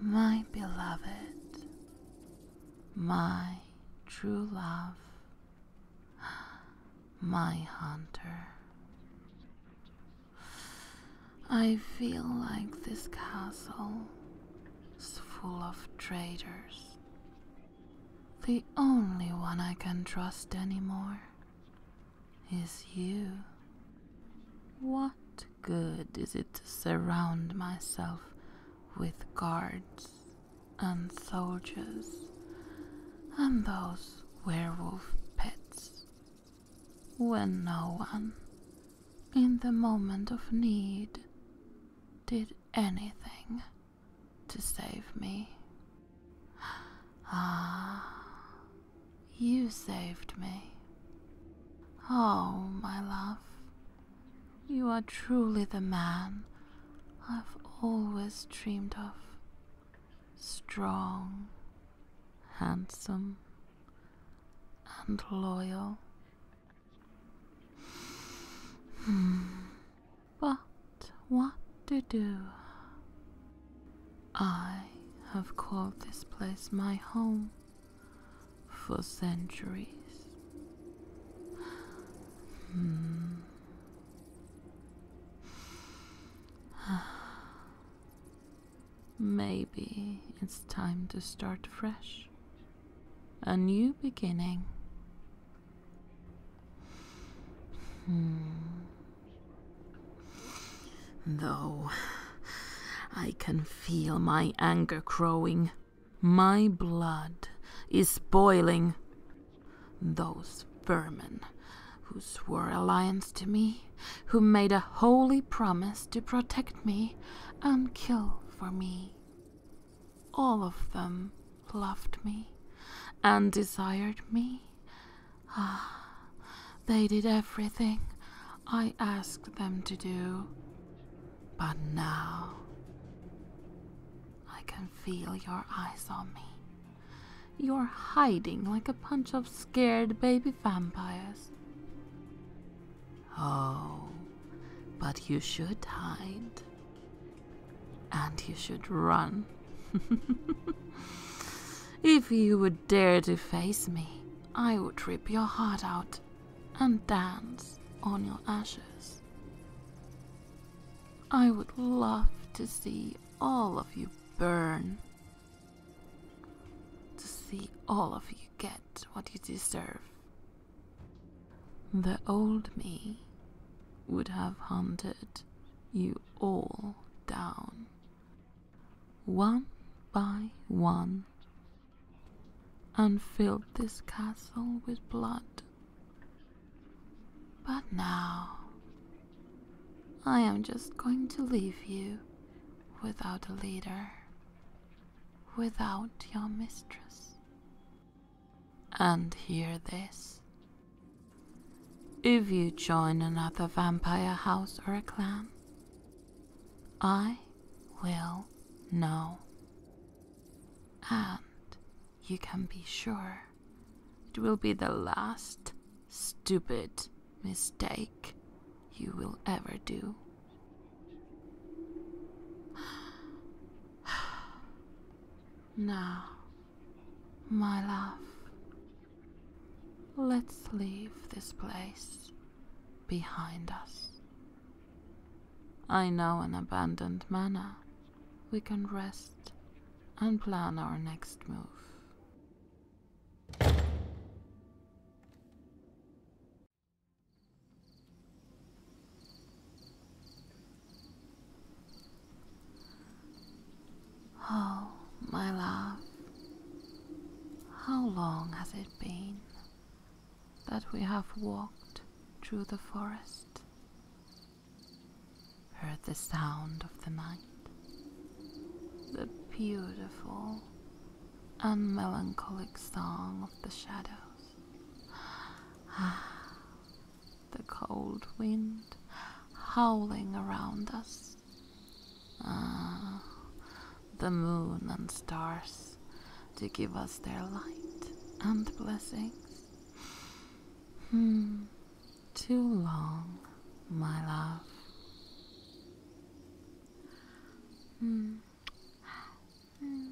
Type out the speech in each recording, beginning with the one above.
My beloved, my true love, my hunter. I feel like this castle is full of traitors the only one I can trust anymore is you. What good is it to surround myself with guards and soldiers and those werewolf pets when no one, in the moment of need, did anything to save me. Ah, you saved me. Oh, my love, you are truly the man I've always dreamed of. Strong, handsome, and loyal. But what to do? I have called this place my home for centuries. Maybe it's time to start fresh. A new beginning. Hmm. Though I can feel my anger growing, my blood is boiling. Those vermin who swore alliance to me, who made a holy promise to protect me and killed for me. All of them loved me and desired me. Ah, they did everything I asked them to do. But now I can feel your eyes on me. You're hiding like a bunch of scared baby vampires. Oh, but you should hide. And you should run. if you would dare to face me, I would rip your heart out and dance on your ashes. I would love to see all of you burn to see all of you get what you deserve. The old me would have hunted you all down, one by one, and filled this castle with blood. But now, I am just going to leave you without a leader, without your mistress. And hear this. If you join another vampire house or a clan, I will know. And you can be sure it will be the last stupid mistake you will ever do. Now, my love, let's leave this place behind us. I know an abandoned manor. We can rest and plan our next move. Oh, my love, how long has it been that we have walked through the forest, heard the sound of the night? the beautiful and melancholic song of the shadows. the cold wind howling around us. Ah, the moon and stars to give us their light and blessings. Hmm, too long, my love. Mm. Mm.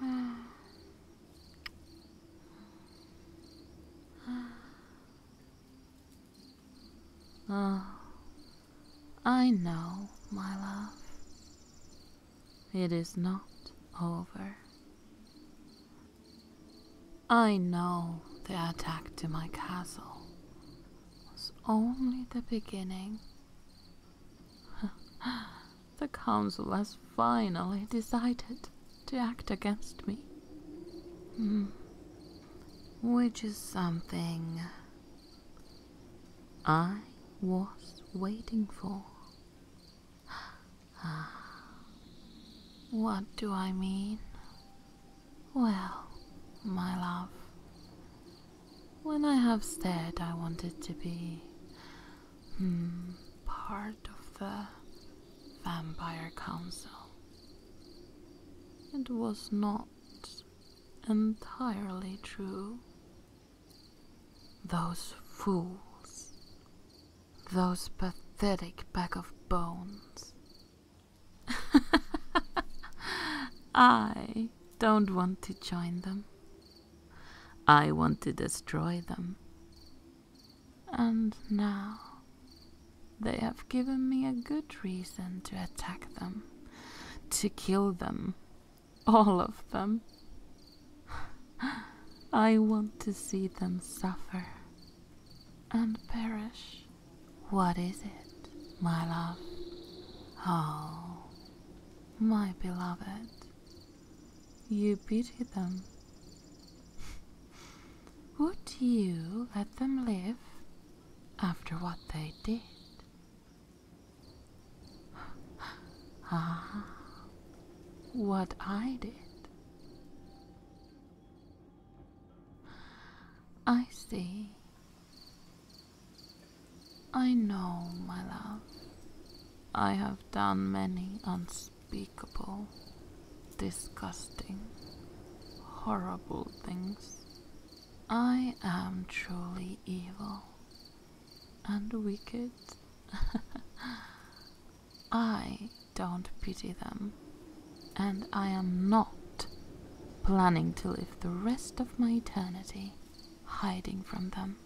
Mm. Oh, I know, my love. It is not over. I know the attack to my castle was only the beginning. the council has finally decided to act against me. Hmm. Which is something I was waiting for. Ah, What do I mean? Well, my love, when I have said I wanted to be hmm, part of the Vampire Council, it was not entirely true. Those fools. Those pathetic pack of bones. I don't want to join them. I want to destroy them. And now they have given me a good reason to attack them, to kill them, all of them. I want to see them suffer and perish. What is it, my love? Oh, my beloved, you pity them. Would you let them live after what they did? Ah, what I did. I see. I know, my love. I have done many unspeakable, disgusting, horrible things. I am truly evil and wicked. I don't pity them, and I am not planning to live the rest of my eternity hiding from them.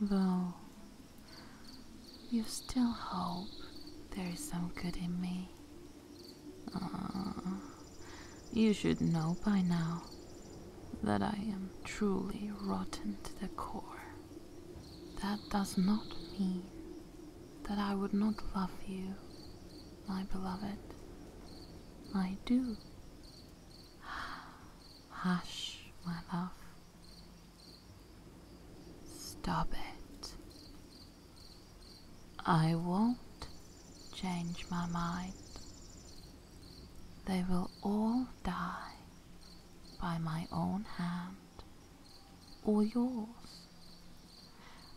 Though you still hope there is some good in me. ah, you should know by now that I am truly rotten to the core. That does not mean that I would not love you, my beloved. I do. Hush, my love. Stop it. I won't change my mind. They will all die by my own hand or yours.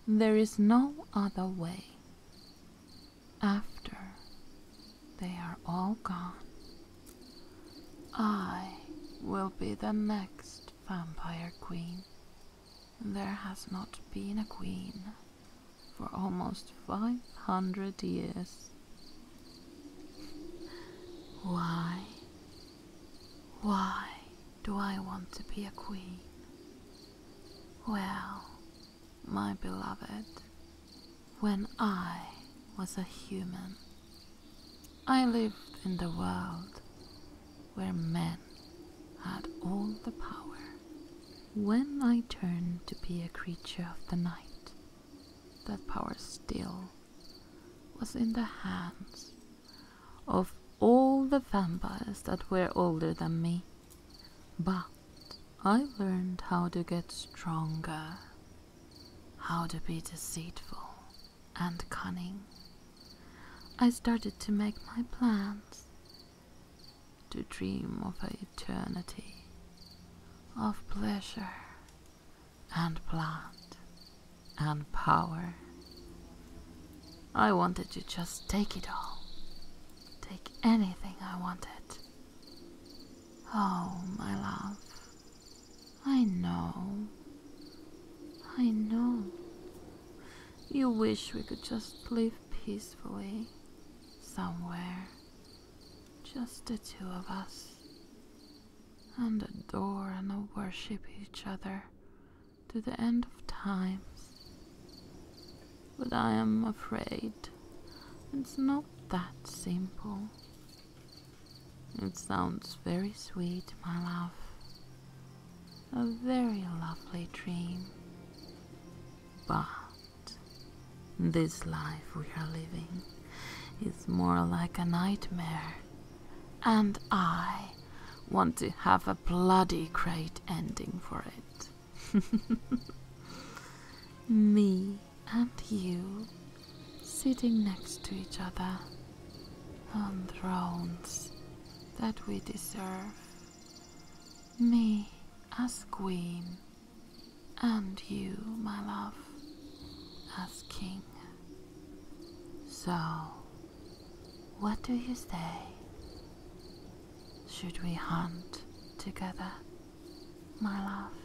There is no other way. After they are all gone, I will be the next vampire queen. There has not been a queen for almost 500 years. Why? Why do I want to be a queen? Well, my beloved, when I was a human, I lived in the world where men had all the power when I turned to be a creature of the night, that power still was in the hands of all the vampires that were older than me. But I learned how to get stronger, how to be deceitful and cunning. I started to make my plans to dream of eternity of pleasure and blood and power. I wanted to just take it all, take anything I wanted. Oh, my love, I know, I know. You wish we could just live peacefully somewhere, just the two of us, and adore and worship each other to the end of times. But I am afraid it's not that simple. It sounds very sweet, my love a very lovely dream. But this life we are living is more like a nightmare, and I want to have a bloody great ending for it. Me and you sitting next to each other on thrones that we deserve. Me as queen, and you, my love, as king. So, what do you say? Should we hunt together, my love?